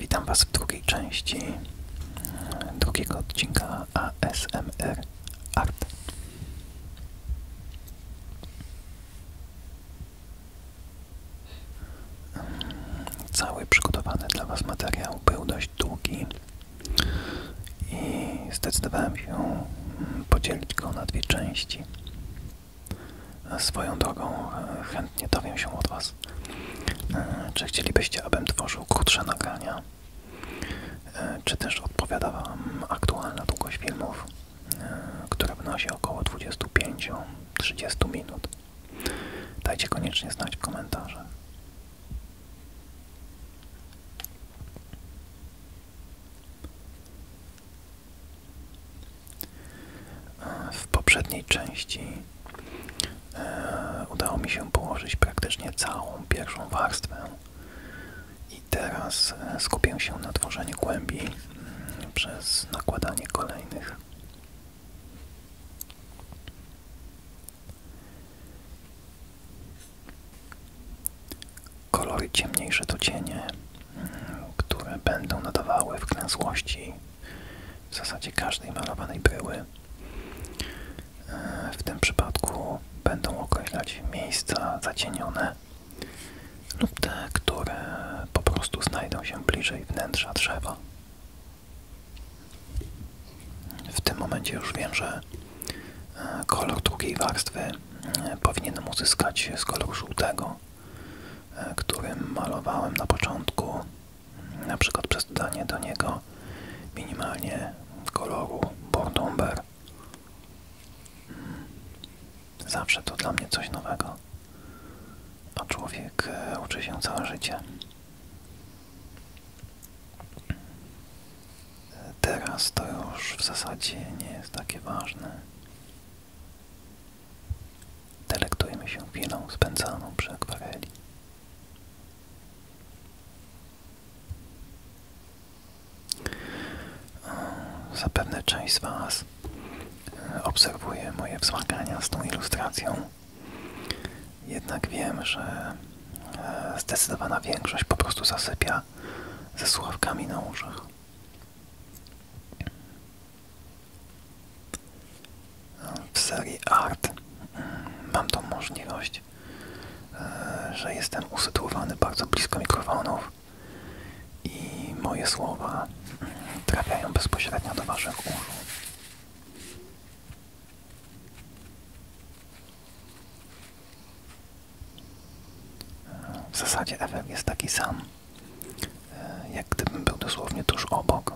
Witam Was w drugiej części drugiego odcinka ASMR Art. Cały przygotowany dla Was materiał był dość długi i zdecydowałem się podzielić go na dwie części. Swoją drogą e, chętnie dowiem się od Was, e, czy chcielibyście, abym tworzył krótsze nagrania, e, czy też odpowiada Wam aktualna długość filmów, która wynosi około 25-30 minut. Dajcie koniecznie znać w komentarzach. W poprzedniej części e, udało mi się położyć praktycznie całą pierwszą warstwę i teraz e, skupię się na tworzeniu głębi mm, przez nakładanie kolejnych. Kolory ciemniejsze to cienie, mm, które będą nadawały wklęsłości w zasadzie każdej malowanej bryły. E, w tym przypadku będą określać miejsca zacienione lub te, które po prostu znajdą się bliżej wnętrza drzewa. W tym momencie już wiem, że e, kolor drugiej warstwy powinienem uzyskać z koloru żółtego, e, którym malowałem na początku, na przykład przez dodanie do niego minimalnie koloru Bordomber. Zawsze to dla mnie coś nowego, a człowiek e, uczy się całe życie. E, teraz to już w zasadzie nie jest takie ważne. Delektujmy się chwilą spędzaną przy akwareli. Zapewne część z Was e, obserwuje moje wzmagania z tą ilustracją. Jednak wiem, że e, zdecydowana większość po prostu zasypia ze słuchawkami na uszach. W serii Art mm, mam tą możliwość, e, że jestem usytuowany bardzo blisko mikrofonów i moje słowa mm, trafiają bezpośrednio do Waszych uszu. W zasadzie Ewel jest taki sam, e, jak gdybym był dosłownie tuż obok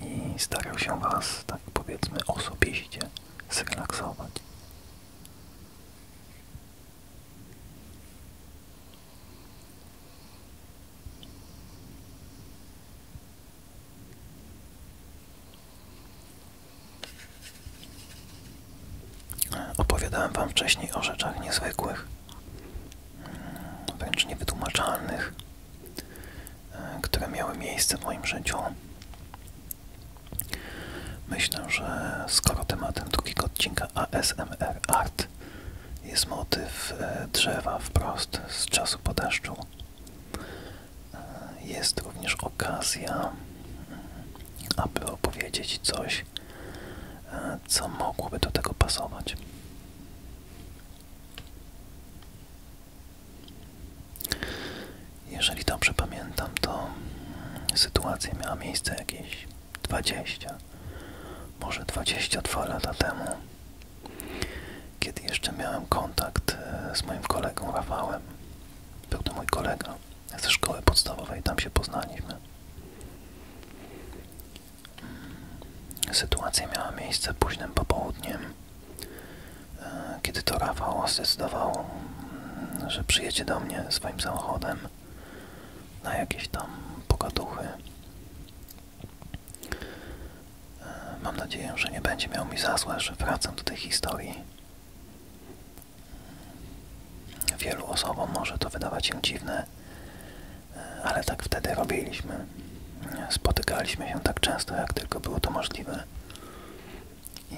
i starał się Was, tak powiedzmy, osobiście zrelaksować. Opowiadałem Wam wcześniej o rzeczach niezwykłych, wręcz niewytłumaczalnych, które miały miejsce w moim życiu. Myślę, że skoro tematem drugiego odcinka ASMR Art jest motyw e, drzewa wprost z czasu po deszczu, e, jest również okazja, aby opowiedzieć coś coś, co mogłoby do tego pasować. Jeżeli dobrze pamiętam, to sytuacja miała miejsce jakieś 20, może 22 lata temu, kiedy jeszcze miałem kontakt e, z moim kolegą Rafałem. Był to mój kolega ze szkoły podstawowej, tam się poznaliśmy. Sytuacja miała miejsce późnym popołudniem, e, kiedy to Rafał zdecydował, mm, że przyjedzie do mnie swoim samochodem na jakieś tam pogaduchy. E, mam nadzieję, że nie będzie miał mi za złe, że wracam do tej historii. Wielu osobom może to wydawać się dziwne, e, ale tak wtedy robiliśmy. Spotykaliśmy się tak często, jak tylko było to możliwe. I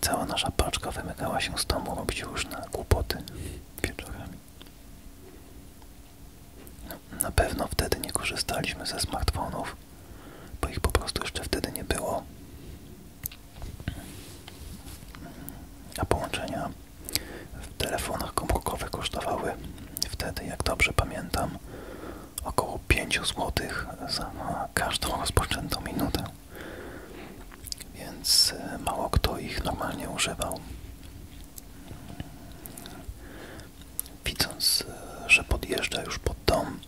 cała nasza paczka wymykała się z domu robić na kłopoty wieczorami. Na pewno wtedy nie korzystaliśmy ze smartfonów, bo ich po prostu jeszcze wtedy nie było. A połączenia w telefonach komórkowych kosztowały wtedy, jak dobrze pamiętam, około 5 zł za każdą rozpoczętą minutę. Więc e, mało kto ich normalnie używał. Widząc, e, że podjeżdża już pod dom,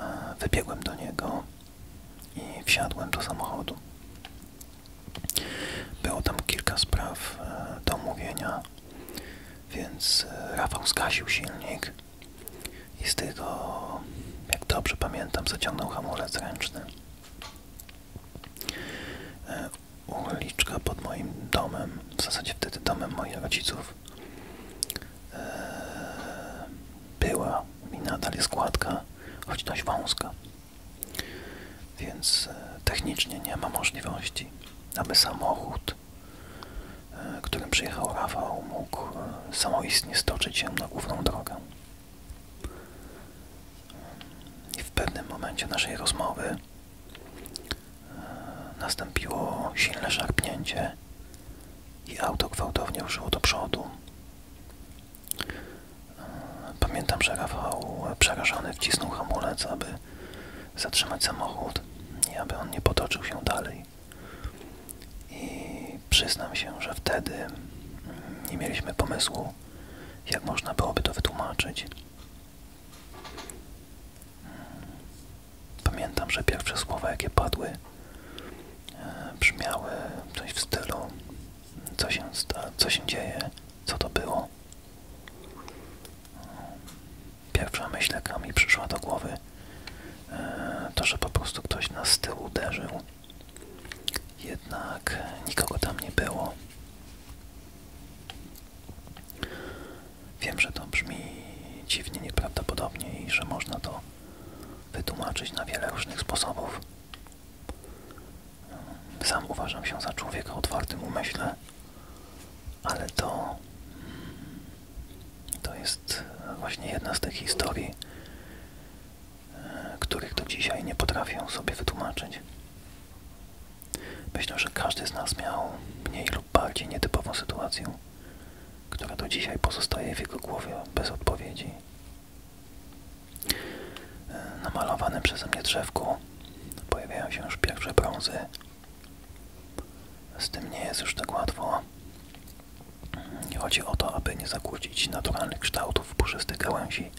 e, wybiegłem do niego i wsiadłem do samochodu. Było tam kilka spraw e, do omówienia, więc e, Rafał zgasił silnik i z tego, jak dobrze pamiętam, zaciągnął hamulec ręczny. E, uliczka pod moim domem, w zasadzie wtedy domem moich rodziców, była i nadal jest gładka, choć dość wąska. Więc e, technicznie nie ma możliwości, aby samochód, e, którym przyjechał Rafał, mógł e, samoistnie stoczyć się na główną drogę. I w pewnym momencie naszej rozmowy nastąpiło silne szarpnięcie i auto gwałtownie ruszyło do przodu. Pamiętam, że Rafał przerażony wcisnął hamulec, aby zatrzymać samochód i aby on nie potoczył się dalej. I przyznam się, że wtedy nie mieliśmy pomysłu, jak można byłoby to wytłumaczyć. Pamiętam, że pierwsze słowa, jakie padły, E, brzmiały coś w stylu co się, co się dzieje, co to było. Pierwsza myśl, jaka mi przyszła do głowy, e, to, że po prostu ktoś na z tyłu uderzył. Jednak nikogo tam nie było. Wiem, że to brzmi dziwnie, nieprawdopodobnie i że można to wytłumaczyć na wiele różnych sposobów. Sam uważam się za człowieka o otwartym umyśle, ale to, to jest właśnie jedna z tych historii, e, których do dzisiaj nie potrafię sobie wytłumaczyć. Myślę, że każdy z nas miał mniej lub bardziej nietypową sytuację, która do dzisiaj pozostaje w jego głowie bez odpowiedzi na namalowanym przeze mnie drzewku pojawiają się już pierwsze brązy. Z tym nie jest już tak łatwo. Chodzi o to, aby nie zakłócić naturalnych kształtów puszystych gałęzi,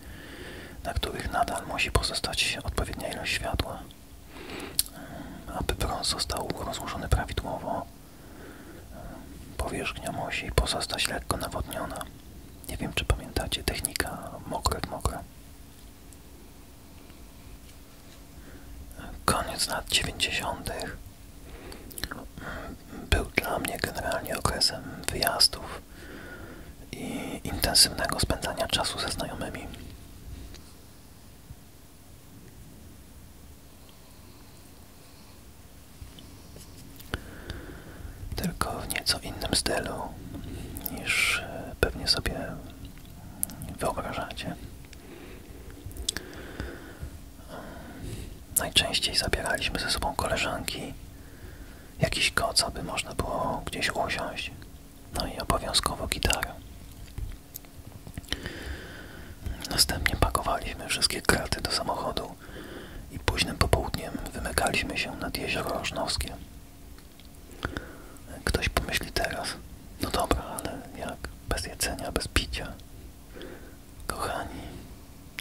na których nadal musi pozostać odpowiednia ilość światła. Aby brąz został rozłożony prawidłowo, Powierzchnia musi pozostać lekko nawodniona. Nie wiem, czy pamiętacie technika mokre mokre. Koniec lat 90. był dla mnie generalnie okresem wyjazdów i intensywnego spędzania czasu ze znajomymi. Tylko w nieco innym stylu niż e, pewnie sobie wyobrażacie. Najczęściej zabieraliśmy ze sobą koleżanki, jakiś koc, aby można było gdzieś usiąść, no i obowiązkowo gitarę. Następnie pakowaliśmy wszystkie kraty do samochodu i późnym popołudniem wymykaliśmy się nad jezioro Rożnowskie. Ktoś pomyśli teraz, no dobra, ale jak? Bez jedzenia, bez picia. Kochani,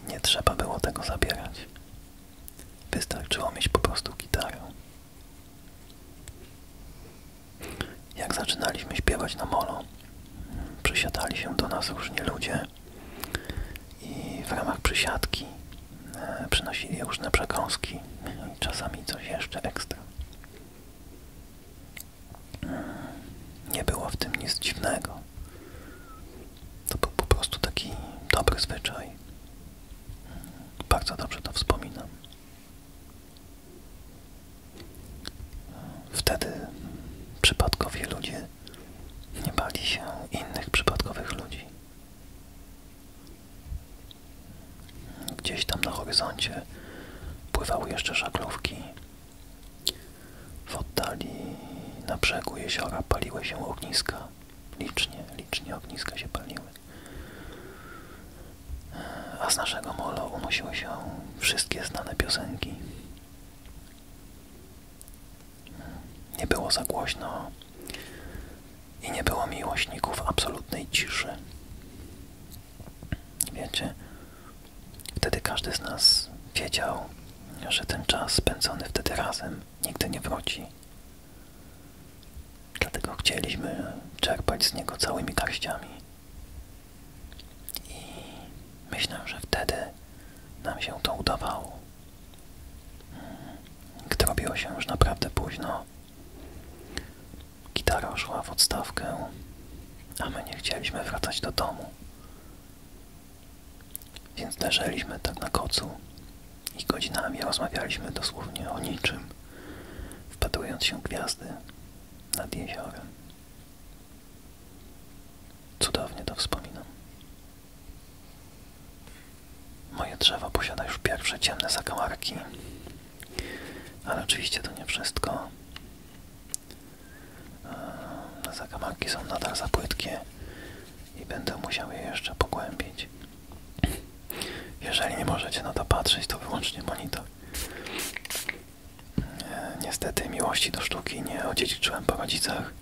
nie trzeba było tego zabierać. Wystarczyło mieć po prostu gitarę. Jak zaczynaliśmy śpiewać na molo, przysiadali się do nas różni ludzie i w ramach przysiadki e, przynosili różne przekąski i czasami coś jeszcze ekstra. Mm, nie było w tym nic dziwnego. To był po prostu taki dobry zwyczaj. Mm, bardzo dobrze to wspominam. Wtedy przypadkowi ludzie nie bali się innych przypadkowych ludzi. Gdzieś tam na horyzoncie pływały jeszcze żaglówki. W oddali na brzegu jeziora paliły się ogniska. Licznie, licznie ogniska się paliły. A z naszego molo unosiły się wszystkie znane piosenki. Nie było za głośno i nie było miłośników absolutnej ciszy. Wiecie, wtedy każdy z nas wiedział, że ten czas spędzony wtedy razem nigdy nie wróci. Dlatego chcieliśmy czerpać z niego całymi garściami. I myślę, że wtedy nam się to udawało. Hmm. Gdy robiło się już naprawdę późno, gitara szła w odstawkę, a my nie chcieliśmy wracać do domu. Więc leżeliśmy tak na kocu i godzinami rozmawialiśmy dosłownie o niczym, wpatrując się w gwiazdy nad jeziorem. Cudownie to wspominam. Moje drzewo posiada już pierwsze ciemne zakamarki, ale oczywiście to nie wszystko. E, zakamarki są nadal za płytkie i będę musiał je jeszcze pogłębić. Jeżeli nie możecie na to patrzeć, to wyłącznie monitor. Niestety miłości do sztuki nie odziedziczyłem po rodzicach,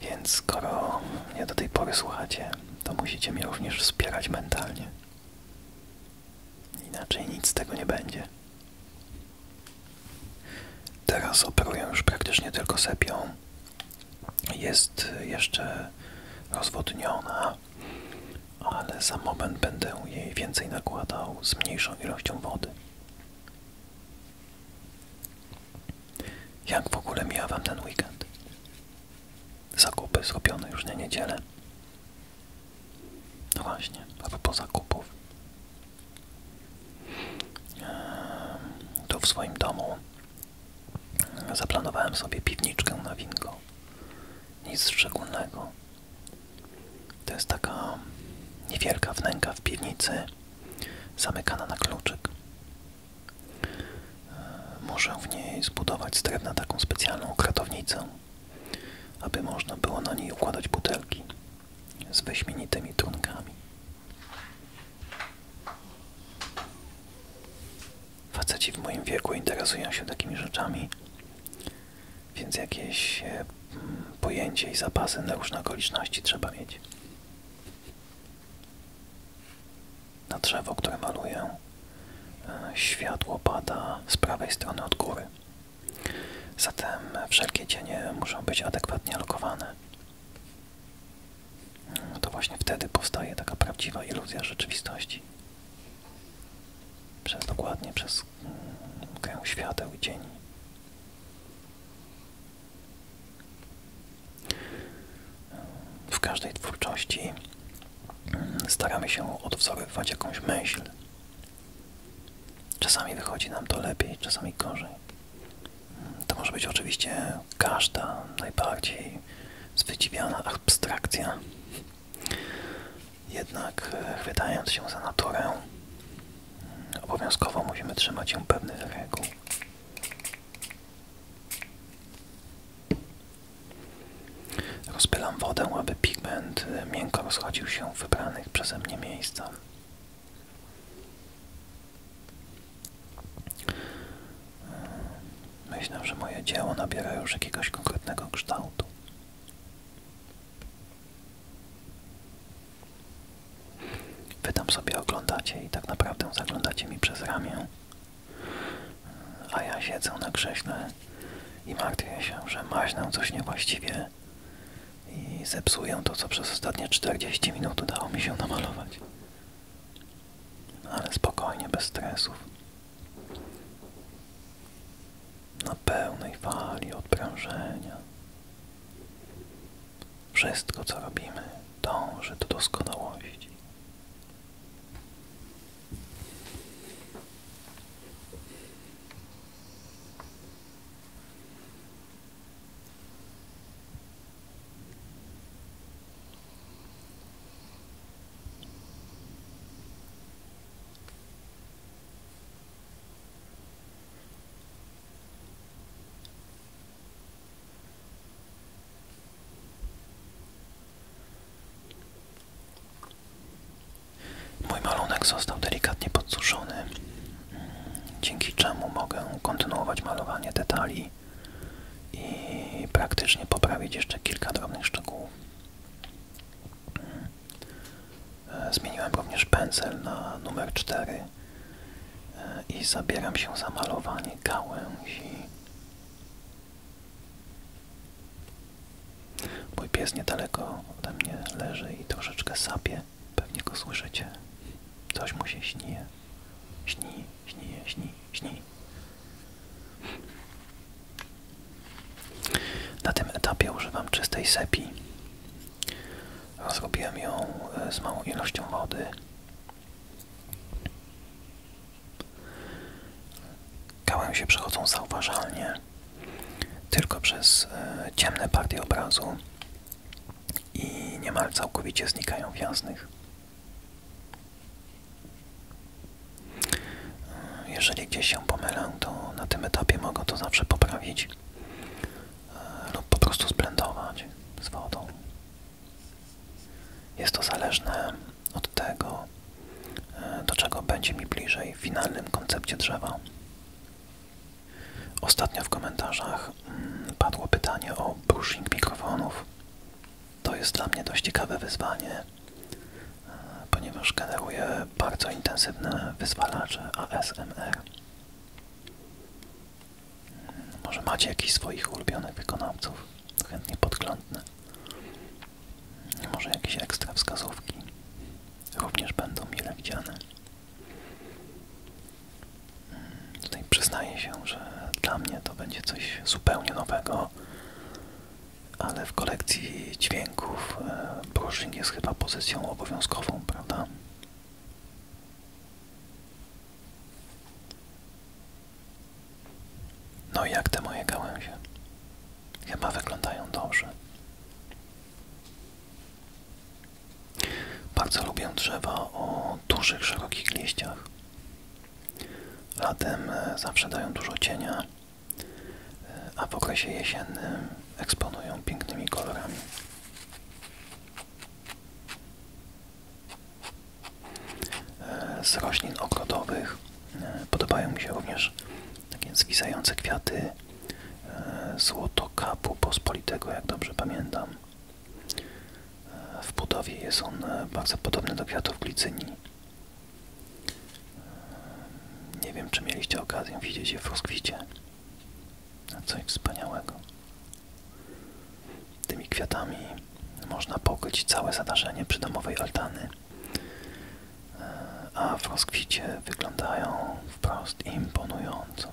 więc skoro mnie do tej pory słuchacie, to musicie mnie również wspierać mentalnie. Inaczej nic z tego nie będzie. Teraz operuję już praktycznie tylko sepią. Jest jeszcze rozwodniona, ale za moment będę jej więcej nakładał z mniejszą ilością wody. Jak w ogóle mija Wam ten weekend? Zakupy zrobione już na niedzielę. No właśnie, a po zakupach. Tu w swoim domu zaplanowałem sobie piwniczkę na winko. Nic szczególnego. To jest taka niewielka wnęka w piwnicy, zamykana na kluczyk. E, muszę w niej zbudować z drewna taką specjalną kratownicę, aby można było na niej układać butelki z wyśmienitymi trunkami. Faceci w moim wieku interesują się takimi rzeczami, więc jakieś e, pojęcie i zapasy na różne okoliczności trzeba mieć. Na drzewo, które maluję, e, światło pada z prawej strony od góry. Zatem wszelkie cienie muszą być adekwatnie lokowane. Mm, to właśnie wtedy powstaje taka prawdziwa iluzja rzeczywistości. Przez dokładnie przez mm, kręg świateł i cieni. W każdej twórczości staramy się odwzorowywać jakąś myśl. Czasami wychodzi nam to lepiej, czasami gorzej. To może być oczywiście każda najbardziej zwydziwiana abstrakcja. Jednak e, chwytając się za naturę, Obowiązkowo musimy trzymać się pewnych reguł. Rozpylam wodę, aby pigment y, miękko rozchodził się w wybranych przeze mnie miejscach. Y, myślę, że moje dzieło nabiera już jakiegoś konkretnego kształtu. Wy tam sobie oglądacie i tak naprawdę zaglądacie mi przez ramię, a ja siedzę na krześle i martwię się, że maźnę coś niewłaściwie i zepsuję to, co przez ostatnie 40 minut udało mi się namalować. Ale spokojnie, bez stresów na pełnej fali odprężenia. Wszystko, co robimy, dąży do doskonałości. Mój malunek został delikatnie podsuszony, dzięki czemu mogę kontynuować malowanie detali i praktycznie poprawić jeszcze kilka drobnych szczegółów. E, zmieniłem również pędzel na numer 4 e, i zabieram się za malowanie gałęzi. Mój pies niedaleko ode mnie leży i troszeczkę sapie. Pewnie go słyszycie. Coś mu się śnieje. Śni, śni, śni, śni. Na tym etapie używam czystej sepii. Zrobiłem ją e, z małą ilością wody. Gałęzie przechodzą zauważalnie tylko przez e, ciemne partie obrazu i niemal całkowicie znikają w jasnych. E, jeżeli gdzieś się pomylę, to na tym etapie mogę to zawsze poprawić lub po prostu zblendować z wodą. Jest to zależne od tego, e, do czego będzie mi bliżej w finalnym koncepcie drzewa. Ostatnio w komentarzach mm, padło pytanie o brushing mikrofonów. To jest dla mnie dość ciekawe wyzwanie, e, ponieważ generuje bardzo intensywne wyzwalacze ASMR. Może macie jakiś swoich ulubionych wykonawców? Chętnie podglądnę. Może jakieś ekstra wskazówki również będą mile widziane. Tutaj przyznaję się, że dla mnie to będzie coś zupełnie nowego, ale w kolekcji dźwięków dźwięków brushing e, jest chyba pozycją obowiązkową, prawda? No i jak te moje gałęzie? Chyba wyglądają dobrze. Bardzo lubię drzewa o dużych, szerokich liściach. Latem e, zawsze dają dużo cienia, e, a w okresie jesiennym eksponują pięknymi kolorami. E, z roślin ogrodowych e, podobają mi się również takie zwisające kwiaty e, złotokapu pospolitego, jak dobrze pamiętam. W budowie jest on bardzo podobny do kwiatów glicyni. Nie wiem, czy mieliście okazję widzieć je w rozkwicie. Coś wspaniałego. Tymi kwiatami można pokryć całe zadarzenie przydomowej altany, e, a w rozkwicie wyglądają wprost imponująco.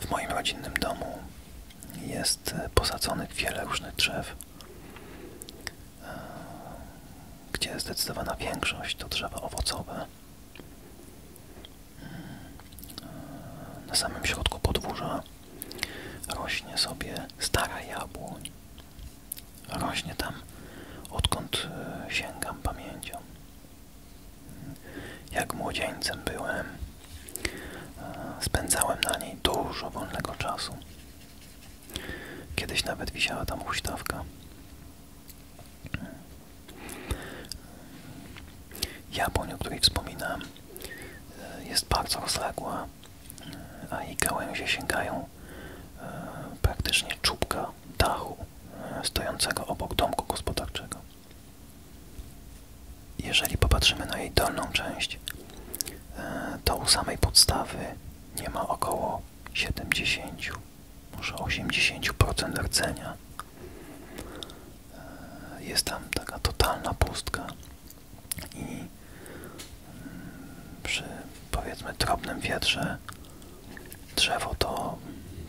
W moim rodzinnym domu jest e, posadzonych wiele różnych drzew gdzie zdecydowana większość to drzewa owocowe. Na samym środku podwórza rośnie sobie stara jabłoń. Rośnie tam, odkąd e, sięgam pamięcią. Jak młodzieńcem byłem, e, spędzałem na niej dużo wolnego czasu. Kiedyś nawet wisiała tam huśtawka. Japonia, o której wspominam, e, jest bardzo rozległa, e, a jej gałęzie sięgają e, praktycznie czubka dachu stojącego obok domku gospodarczego. Jeżeli popatrzymy na jej dolną część, to u samej podstawy nie ma około 70, może 80% rdzenia. E, jest tam taka totalna pustka i mm, przy powiedzmy drobnym wietrze drzewo to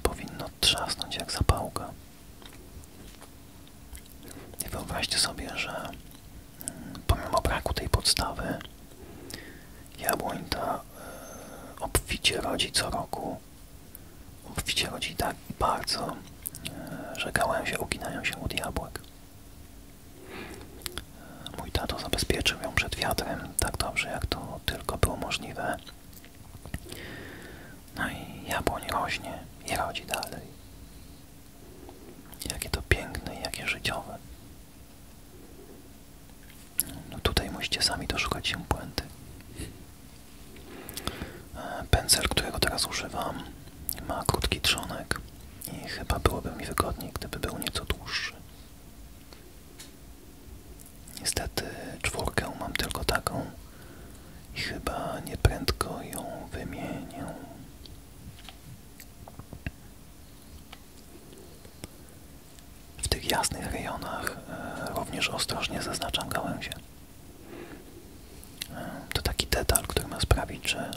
powinno trzasnąć jak zapałka. wyobraźcie sobie, że pomimo braku tej podstawy, jabłoń ta e, obficie rodzi co roku. Obficie rodzi tak bardzo, e, że gałęzie uginają się od jabłek. E, mój tato zabezpieczył ją przed wiatrem tak dobrze, jak to tylko było możliwe. No i jabłoń rośnie i rodzi dalej. Jakie to piękne jakie życiowe. No tutaj musicie sami doszukać się puenty. E, Pędzel, którego teraz używam, ma krótki trzonek i chyba byłoby mi wygodniej, gdyby był nieco dłuższy. Niestety czwórkę mam tylko taką i chyba nieprędko ją wymienię. W tych jasnych rejonach e, również ostrożnie zaznaczam gałęzie. To taki detal, który ma sprawić, że e,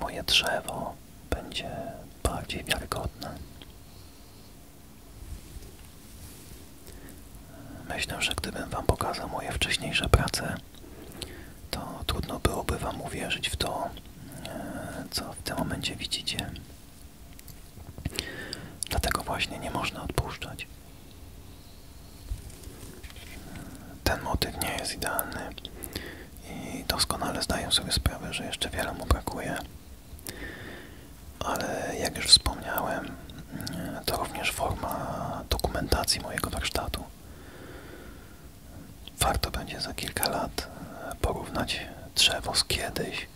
moje drzewo będzie bardziej wiarygodne. E, myślę, że gdybym Wam pokazał moje wcześniejsze prace, to trudno byłoby Wam uwierzyć w to, e, co w tym momencie widzicie. Dlatego właśnie nie można odpuszczać. Ten motyw nie jest idealny i doskonale zdaję sobie sprawę, że jeszcze wiele mu brakuje. Ale jak już wspomniałem, e, to również forma dokumentacji mojego warsztatu warto będzie za kilka lat e, porównać drzewo z kiedyś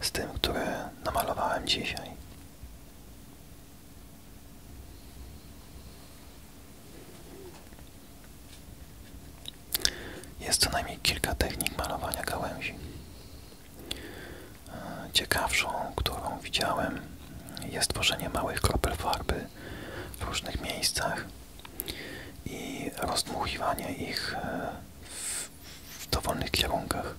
z tym, które namalowałem dzisiaj. Jest co najmniej kilka technik malowania gałęzi. E, ciekawszą, którą widziałem, jest tworzenie małych kropel farby w różnych miejscach i rozdmuchiwanie ich e, w, dowolnych kierunkach.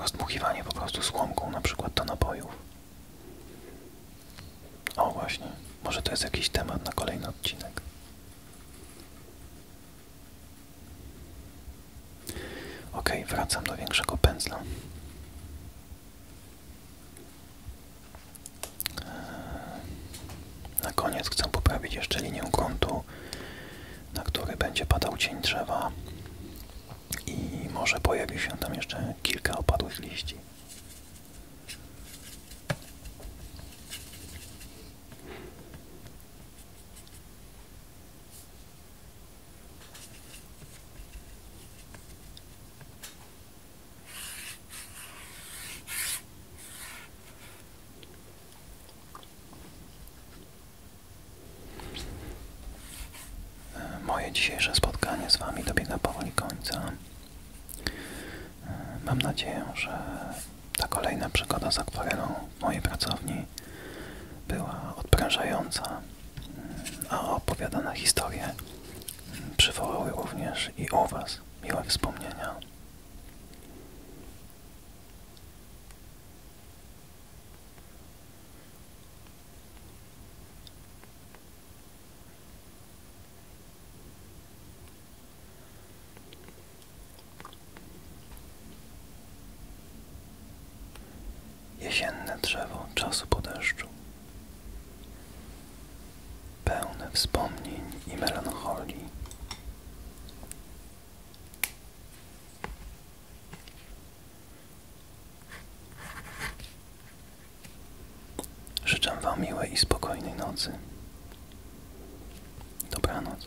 Rozdmuchiwanie po prostu słomką na przykład do napojów. O właśnie, może to jest jakiś temat na kolejny odcinek. Ok, wracam do większego pędzla. Na koniec chcę poprawić jeszcze linię kątu, na który będzie padał cień drzewa i może pojawi się tam jeszcze kilka opadłych liści. Moje dzisiejsze spotkanie z Wami dobiega powoli końca. Mam nadzieję, że ta kolejna przygoda z akwarelą w mojej pracowni była odprężająca a opowiadane historie przywołały również i o Was miłe wspomnienia. Jesienne drzewo czasu po deszczu pełne wspomnień i melancholii. Życzę Wam miłej i spokojnej nocy. Dobranoc.